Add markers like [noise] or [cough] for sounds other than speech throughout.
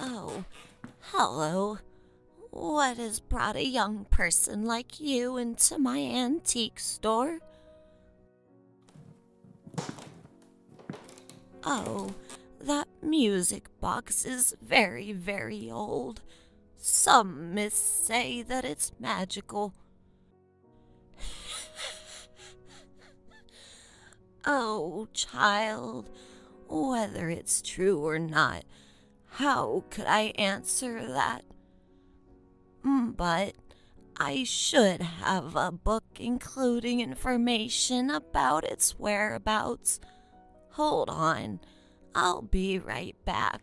Oh, hello. What has brought a young person like you into my antique store? Oh, that music box is very, very old. Some myths say that it's magical. [laughs] oh, child, whether it's true or not, how could I answer that? Mm, but I should have a book including information about its whereabouts. Hold on, I'll be right back.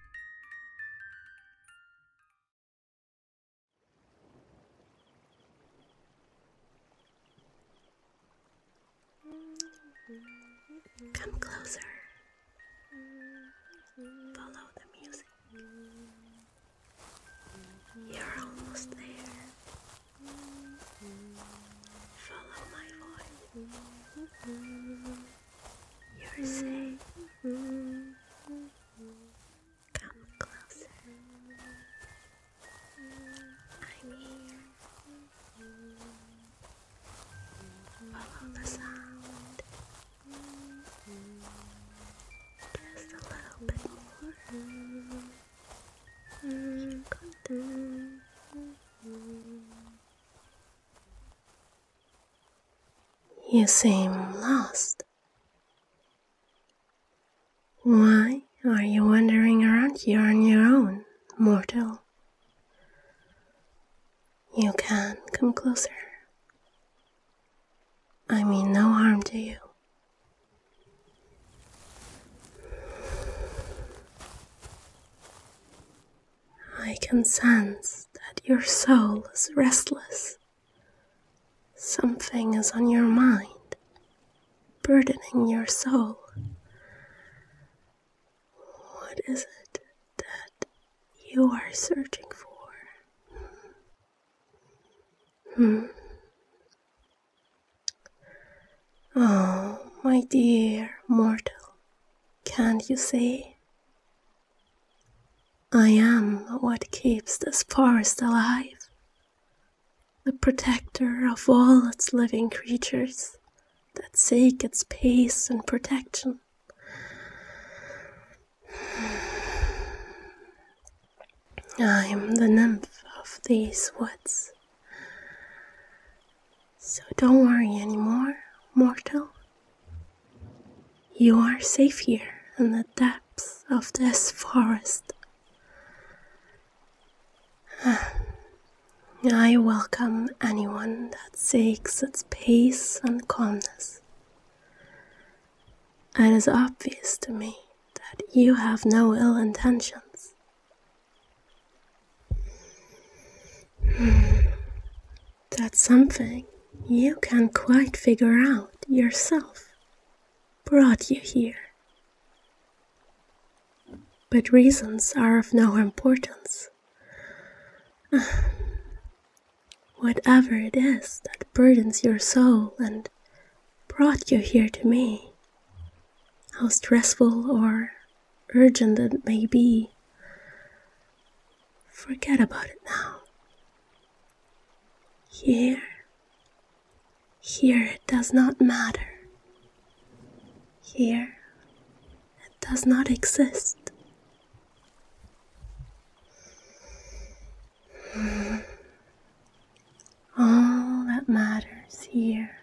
Come closer. Follow the music. You're almost there. Follow my voice. You're safe. Come closer. I'm here. Follow the sound. Just a little bit more. Good. You seem lost. Why are you wandering around here on your own, mortal? You can come closer. I mean no harm to you. I can sense that your soul is restless. Something is on your mind, burdening your soul. What is it that you are searching for? Hmm. Oh, my dear mortal, can't you see? I am what keeps this forest alive, the protector of all its living creatures that seek its peace and protection. [sighs] I am the nymph of these woods. So don't worry anymore, mortal. You are safe here in the depths of this forest. [sighs] I welcome anyone that seeks its peace and calmness. It is obvious to me that you have no ill intentions. That something you can't quite figure out yourself. Brought you here. But reasons are of no importance. [sighs] Whatever it is that burdens your soul and brought you here to me, how stressful or urgent it may be, Forget about it now. Here, here it does not matter. Here, it does not exist. All that matters here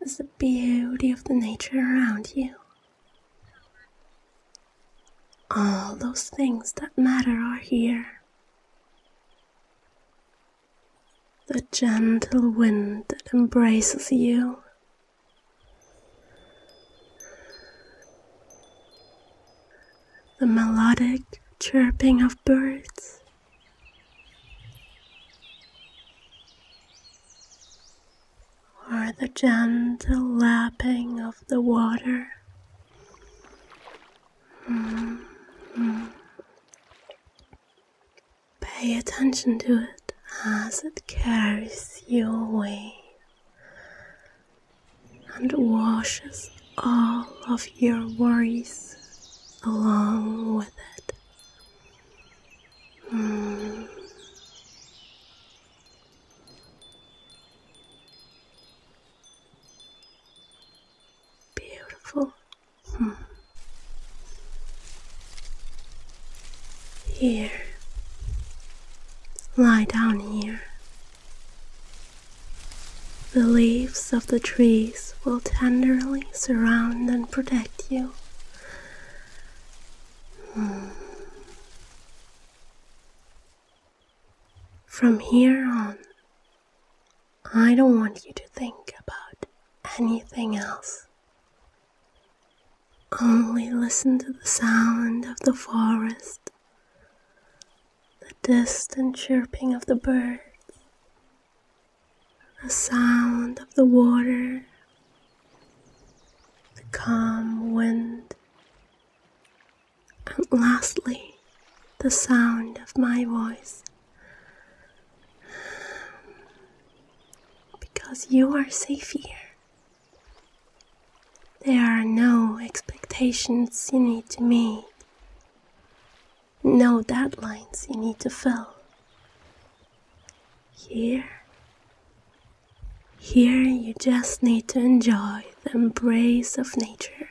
is the beauty of the nature around you all those things that matter are here. The gentle wind that embraces you. The melodic chirping of birds or the gentle lapping of the water. Mm-hmm. Pay attention to it as it carries you away and washes all of your worries along with it. Mm. Beautiful. Hmm. Here. Lie down here. The leaves of the trees will tenderly surround and protect you. Hmm. From here on, I don't want you to think about anything else. Only listen to the sound of the forest, the distant chirping of the birds, the sound of the water the calm wind, and lastly, the sound of my voice. Because you are safe here. There are no expectations you need to meet, no deadlines you need to fill. Here, here you just need to enjoy the embrace of nature.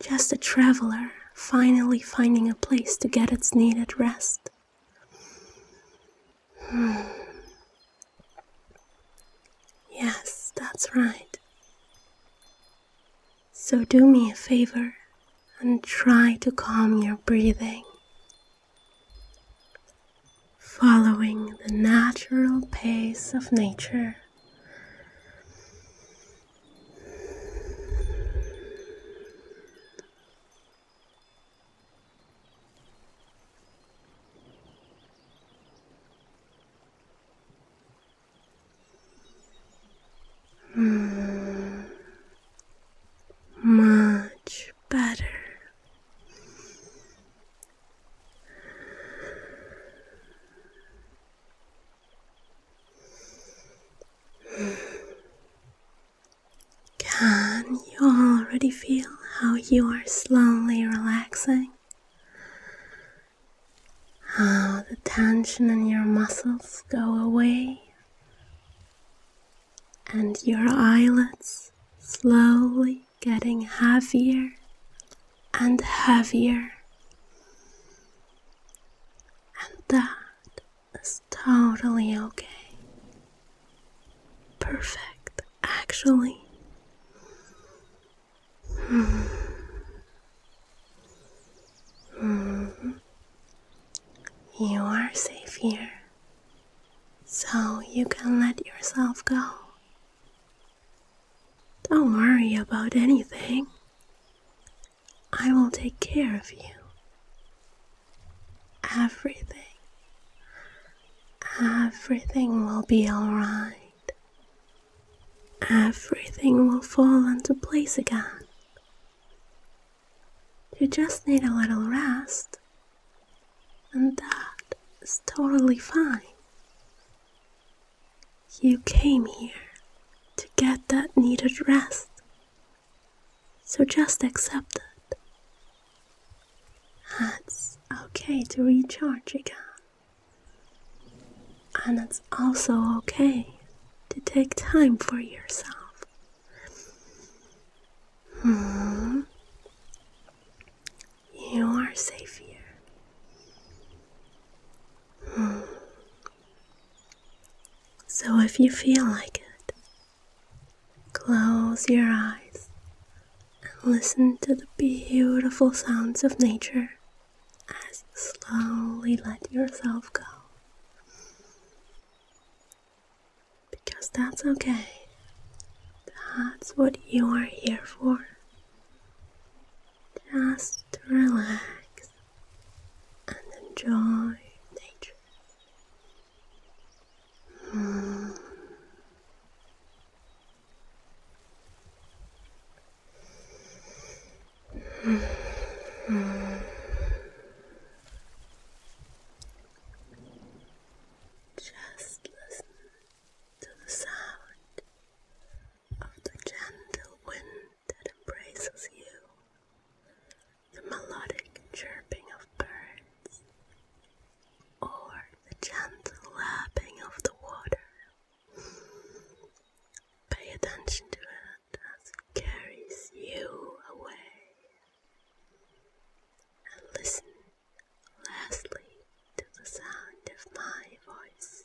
Just a traveler finally finding a place to get its needed rest. Hmm. Yes, that's right. So do me a favor and try to calm your breathing following the natural pace of nature. Mm. Much, better. Can you already feel how you are slowly relaxing? How the tension in your muscles go away and your eyelids slowly getting heavier and heavier. And that is totally okay. Perfect, actually. Hmm. Hmm. You are safe here so you can let yourself go. Don't worry about anything. I will take care of you. Everything, everything will be alright. Everything will fall into place again. You just need a little rest and that is totally fine. You came here to get that needed rest, so just accept it. It's okay to recharge again, and it's also okay to take time for yourself. Hmm. You are safe here. Hmm. So if you feel like it, close your eyes and listen to the beautiful sounds of nature as you slowly let yourself go. Because that's okay. That's what you are here for. Just relax and enjoy nature. Just listen to the sound of the gentle wind that embraces you, the melodic chirping of birds, or the gentle lapping of the water. Pay attention to it as it carries you away and listen lastly to the sound of my voice.